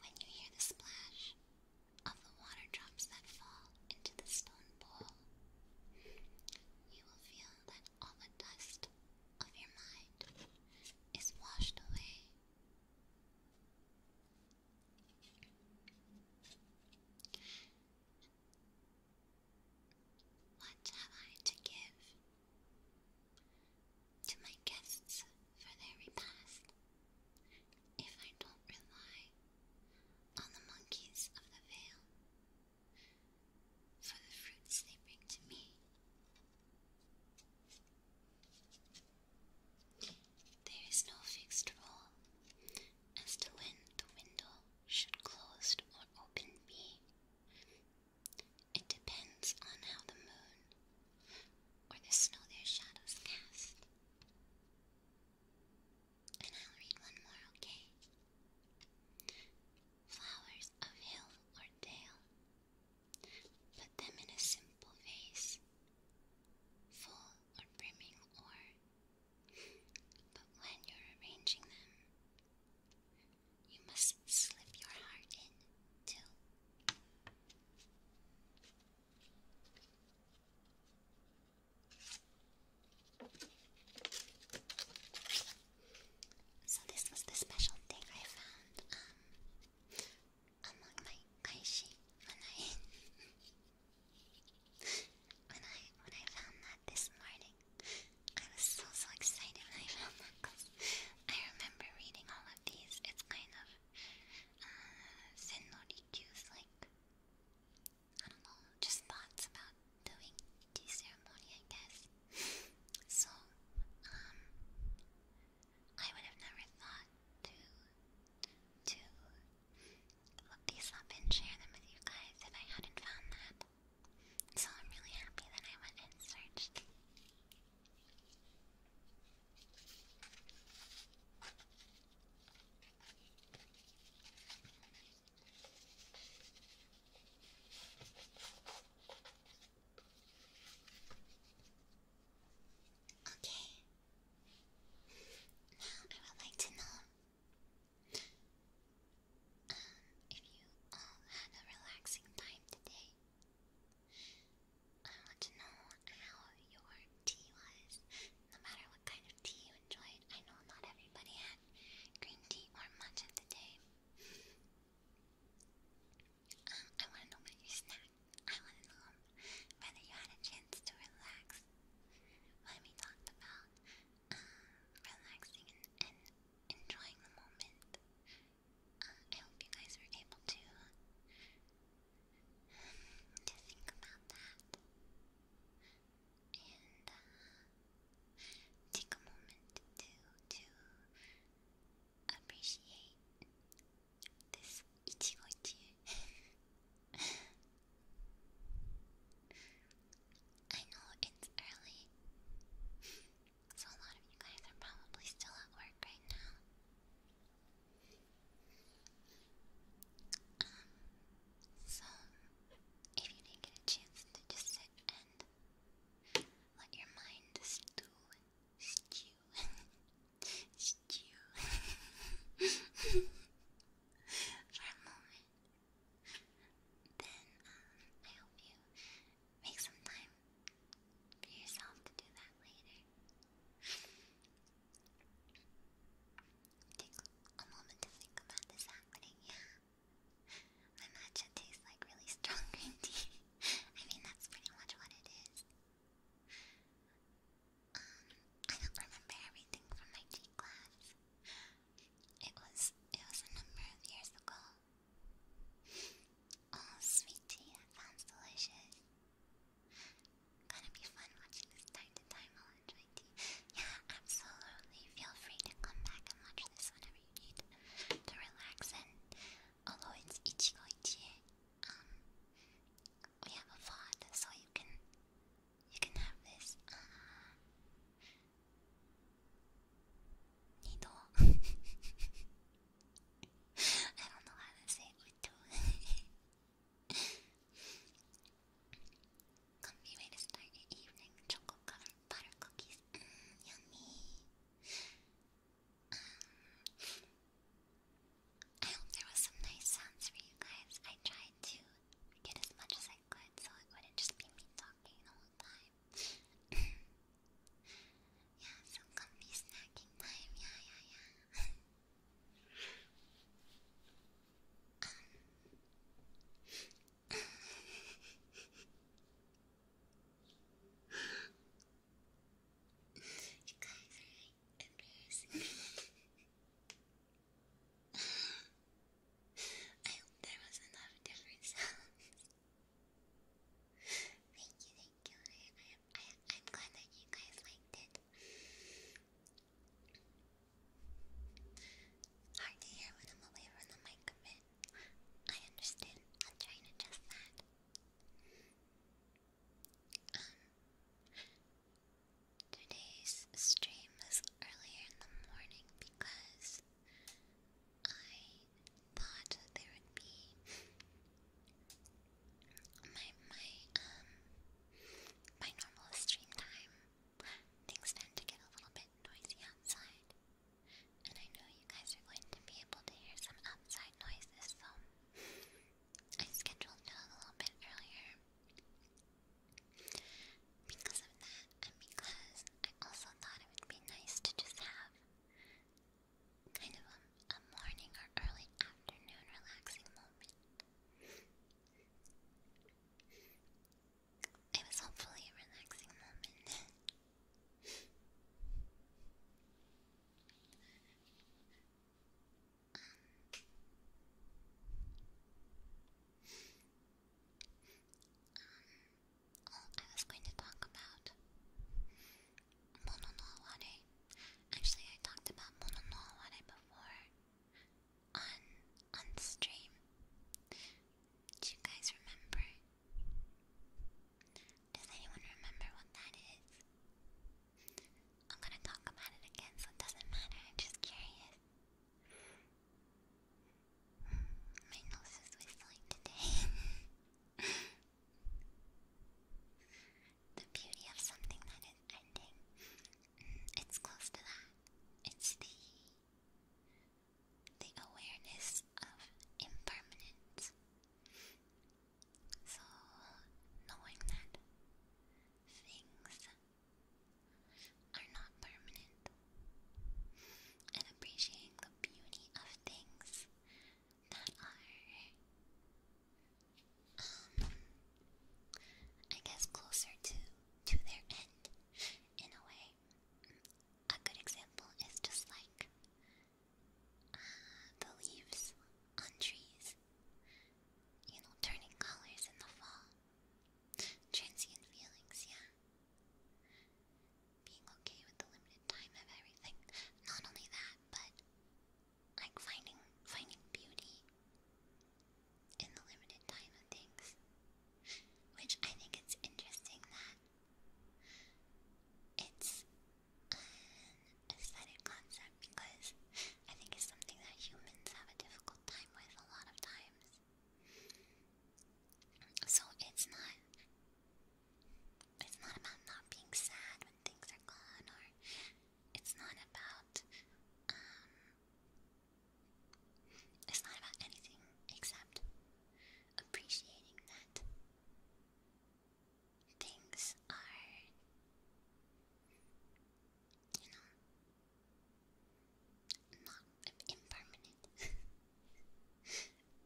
When you hear the splash of the water drops that fall into the stone bowl, you will feel that all the dust of your mind is washed away. What have I to give? to my guests for their repast if I don't rely on the monkeys of the vale for the fruits they bring to me. There is no fixed rule as to when the window should closed or open be. It depends on how the moon or the snow their shadows cast. And I'll read one more, okay? Flowers of hill or dale, put them in a simple vase, full or brimming or. But when you're arranging them, you must slip your heart in so this was the special thing I found um, among my kaishi when I when I when I found that this morning. I was so so excited when I found that I remember reading all of these. It's kind of uh, Senori Q's like, I don't know, just thoughts about doing tea ceremony, I guess. so, um, I would have never thought to, to look these up and share them with you guys if I hadn't found that. So I'm really happy that I went and searched. Okay. Now I would like to know um, if you all um, had a relaxing time today. I want to know how your tea was, no matter what kind of tea you enjoyed. I know not everybody had green tea or matcha today. Um, I want to know about your snack. I want to know whether you had a chance to relax when we talked about um, relaxing and, enjoying the moment. Uh, I hope you guys were able to to think about that and take a moment to to appreciate this I know it's early, so a lot of you guys are probably still at work right now. Um, so, if you didn't get a chance to just sit and let your mind stew, stew, stew for a moment, then um, I hope you make some time for yourself to do that later. Take a moment to think about this happening, yeah. My matcha tastes like really strong green tea. I mean, that's pretty much what it is. Um, I don't remember everything from my G class. It was it was a number of years ago. Oh, sweet tea, that sounds delicious. Gonna be fun watching this time to time. I'll enjoy it. Yeah, absolutely. Feel free to come back and watch this whenever you need to relax. And although it's Ichigo um, we have a VOD, so you can you can have this. Uh, I don't know how to say it Comfy way to start your evening. Chocolate covered butter cookies. yummy. I hope there was some nice sounds for you guys. I tried to get as much as I could so it wouldn't just be me talking the whole time. yeah, some comfy snacking time. Yeah, yeah, yeah. You guys are embarrassing. I hope there was enough different thank you, I, am glad that you guys liked it. Hard to hear when I'm away from the mic a bit. I understand. I'll try and adjust that. Um, today's stream was earlier in the morning because I thought there would be my my um my normal stream time, things tend to get a little bit noisy outside, and I know you guys are going to be able to hear some outside noises, so I scheduled it a little bit earlier. Because of that, and because I also thought it would be nice to just have kind of a morning or early afternoon relaxing moment. It was hopefully a relaxing moment. um, um, I was going to talk about Mono Actually, I talked about Mono before on on the stream. Do you guys remember? Does anyone remember what that is? I'm gonna talk about it again, so it doesn't matter. I'm just curious. My nose is whistling today. the beauty of something that ending. Mm, it's close to that. It's the the awareness of impermanence. So knowing that things are not permanent and appreciating the beauty of things that are um, I guess closer to to their end in a way. A good example is just like uh, the leaves on trees, you know, turning colors in the fall. Transient feelings, yeah. Being okay with the limited time of everything. Not only that, but like finding finding beauty in the limited time of things. Which I think it's interesting that it's an aesthetic concept because I think it's something that humans have a difficult time with a lot of times. So it's not it's not about not being sad when things are gone or it's not about um, it's not about anything except appreciating that things are you know not impermanent.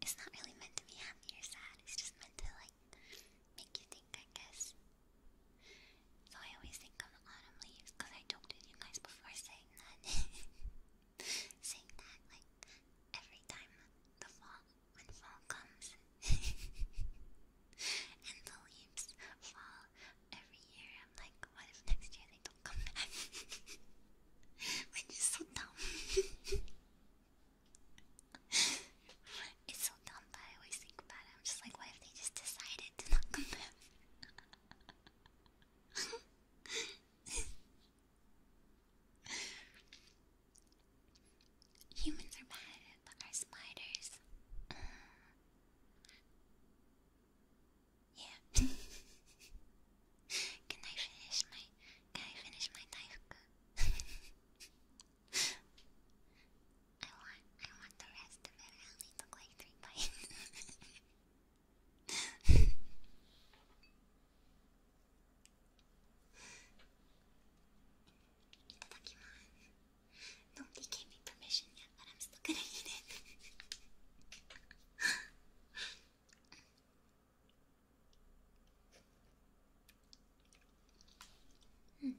it's not really meant to be happy or sad, it's just meant to like like make you think, I guess. So I always think of the autumn leaves because I joked with you guys before saying that. saying that like every time the fall when fall comes and the leaves fall every year, I'm like, what if next year they don't come back? Which is so dumb it's so dumb, but I always think about it. I'm just like, what if they just decided to not come back? Humans are bad, but our spiders. yeah. can I finish my? Can I finish my dive? I want I want the rest of it. I only took like three bites. Nobody gave me permission yet, but I'm still gonna eat it. hmm.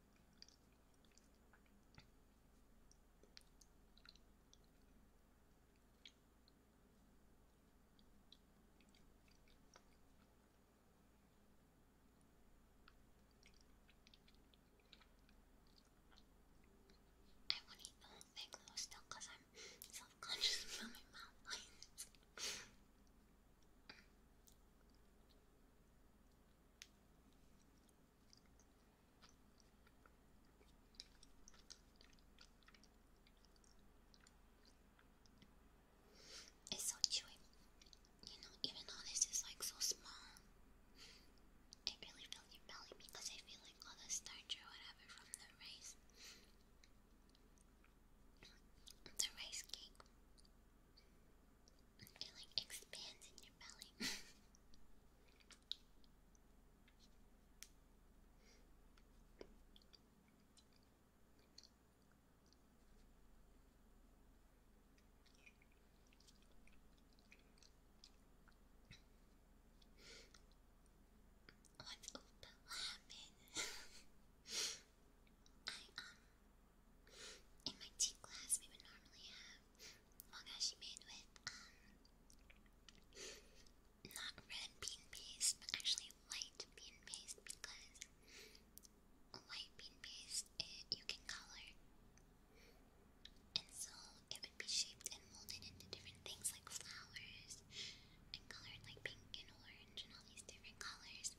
Every thing was still because I'm self conscious about my mouth lines. It's so chewy. You know, even though this is like so small, it really fills your belly because I feel like all the starch whatever from the rice. The rice cake. It like expands in your belly. What's up? What happened? I, in my tea class, we would normally have mogashi made with, um, not red bean paste, but actually white bean paste because white bean paste, it, you can color. And so it would be shaped and molded into different things like flowers and colored like pink and orange and all these different colors.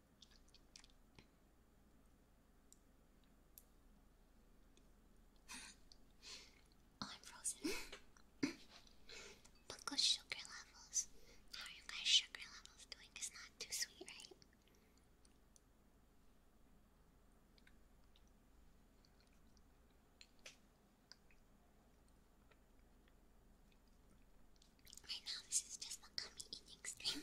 Oh, I'm frozen. But good sugar levels. How are you guys' sugar levels doing? It's not too sweet, right? Right now, this is just a eating stream.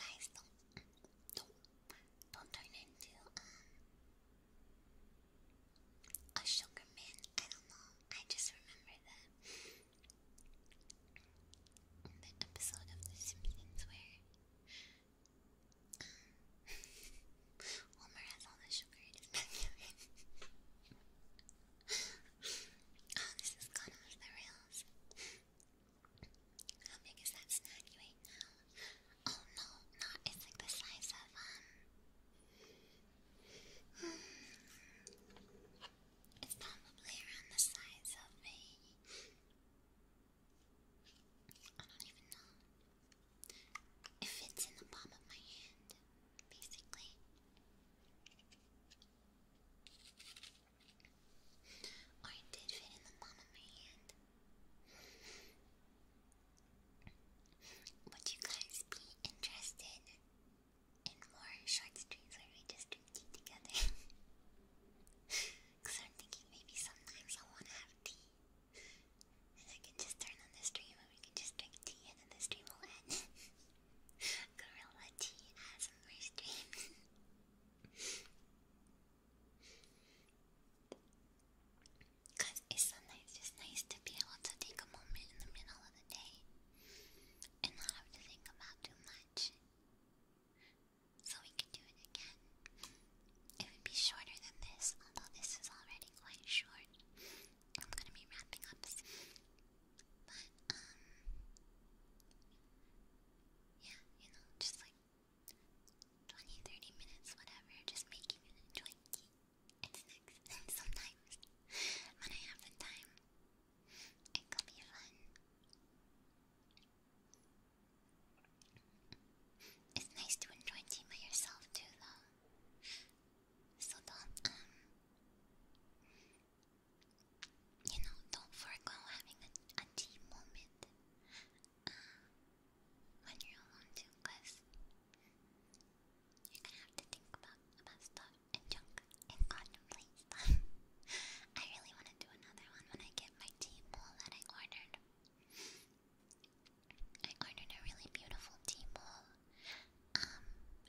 Guys, don't, don't, don't turn into um, a sugar man. I don't know. I just remember that episode of The Simpsons where um, Homer has all the sugar oh, this has gone off the rails. How big is that snack you ate Oh no, not. It's like the size of, um. It's probably around the size of a. I don't even know. It fits in the palm of my hand basically. Or it did fit in the palm of my hand. Would you guys be interested in more short streams where we just drink tea together? Because I'm thinking maybe sometimes I want to have tea. And I can just turn on the stream and we can just drink tea and then the stream will end. Gorilla T has a my Cause it's so just nice to be able to take a moment in the middle of the day and not have to think about too much. So we can do it again. It would be shorter than this, although this is already quite short. I'm gonna be wrapping up But, um, yeah, you know, just like 20, minutes, whatever, just making it enjoyable. It's and sometimes when I have the time, it could be fun. It's nice to enjoy tea by yourself too, though. So don't, um, you know, don't forego having a, a deep moment uh, when you're alone too, you're gonna have to think about, about stuff and junk and contemplate stuff. I really want to do another one when I get my tea bowl that I ordered. I ordered a really beautiful tea bowl um,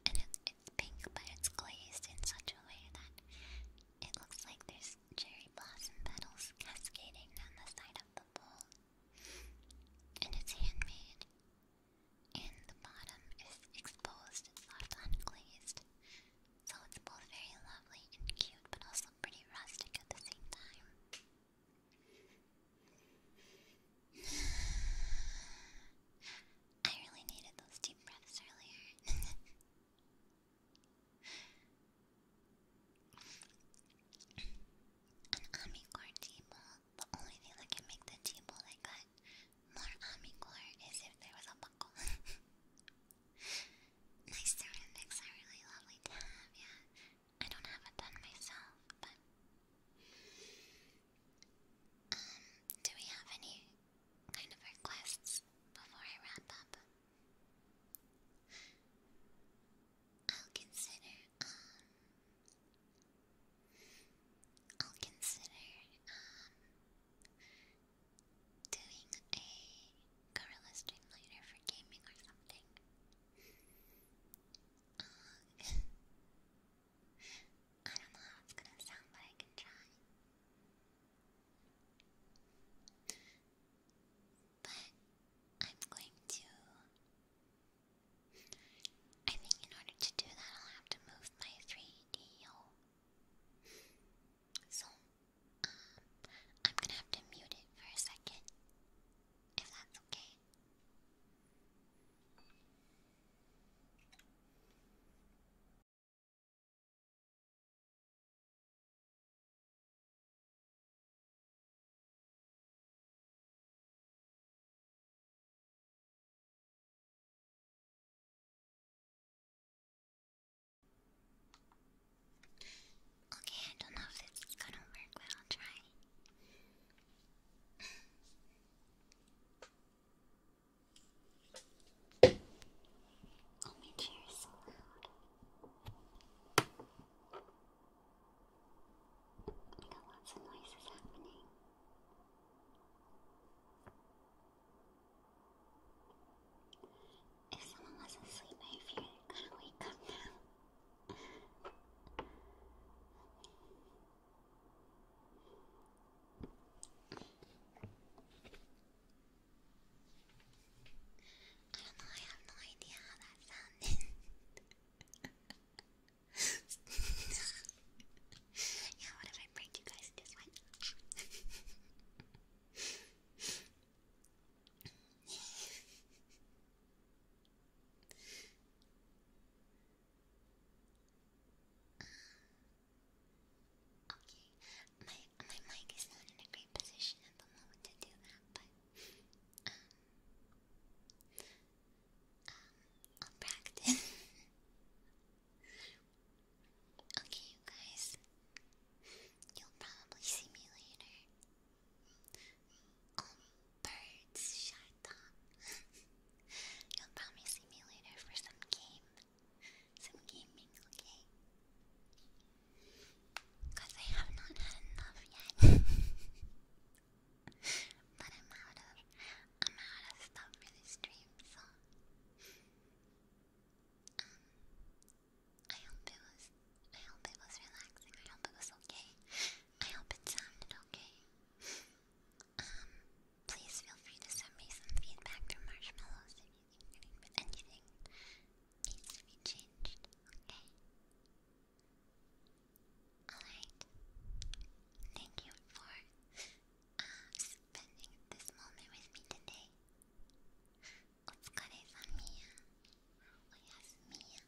and it, it's pink, but it's glazed in such a way that it looks like there's cherry blossom petals cascading down the side of the bowl. And it's handmade. And the bottom is exposed, it's left unglazed. So it's both very lovely and cute, but also pretty rustic at the same time. I really needed those deep breaths earlier. An Amicore ball The only thing that can make the T-Ball I got more Amicore is if there was a buckle. nice ceramics are really lovely to have, yeah. I don't have a ton myself, but. Um, do we have any kind of requests before I wrap up? I'll consider, um, I'll consider, um, doing a gorilla stream later for gaming or something. Um, I don't know how it's gonna sound, but I can try. But I'm going to. I think in order to do that, I'll have to move my 3DO. So, um, I'm gonna have to mute it for a second, if that's okay. Okay, I don't know if this is gonna work, but I'll try. Oh, my chair is so I got lots of noises happening. If someone was asleep, I fear they wake up now do I have no idea how that sounded. yeah, what if I break you guys this one? Uh, okay, my my mic is not in a great position at the moment to do that, but um, I'll practice. okay, you guys, you'll probably see me later. Oh, birds, shut up. You'll probably see me later for some game. Some gaming, okay? Because I have not had enough yet. but I'm out of I'm out of stuff for the stream, so um I hope it was I hope it was relaxing. I hope it was okay. I hope it sounded okay. Um please feel free to send me some feedback through marshmallows if you think anything needs to be changed, okay? Alright. Thank you for uh, spending this moment with me today. Otsukare miya. Oyasumi.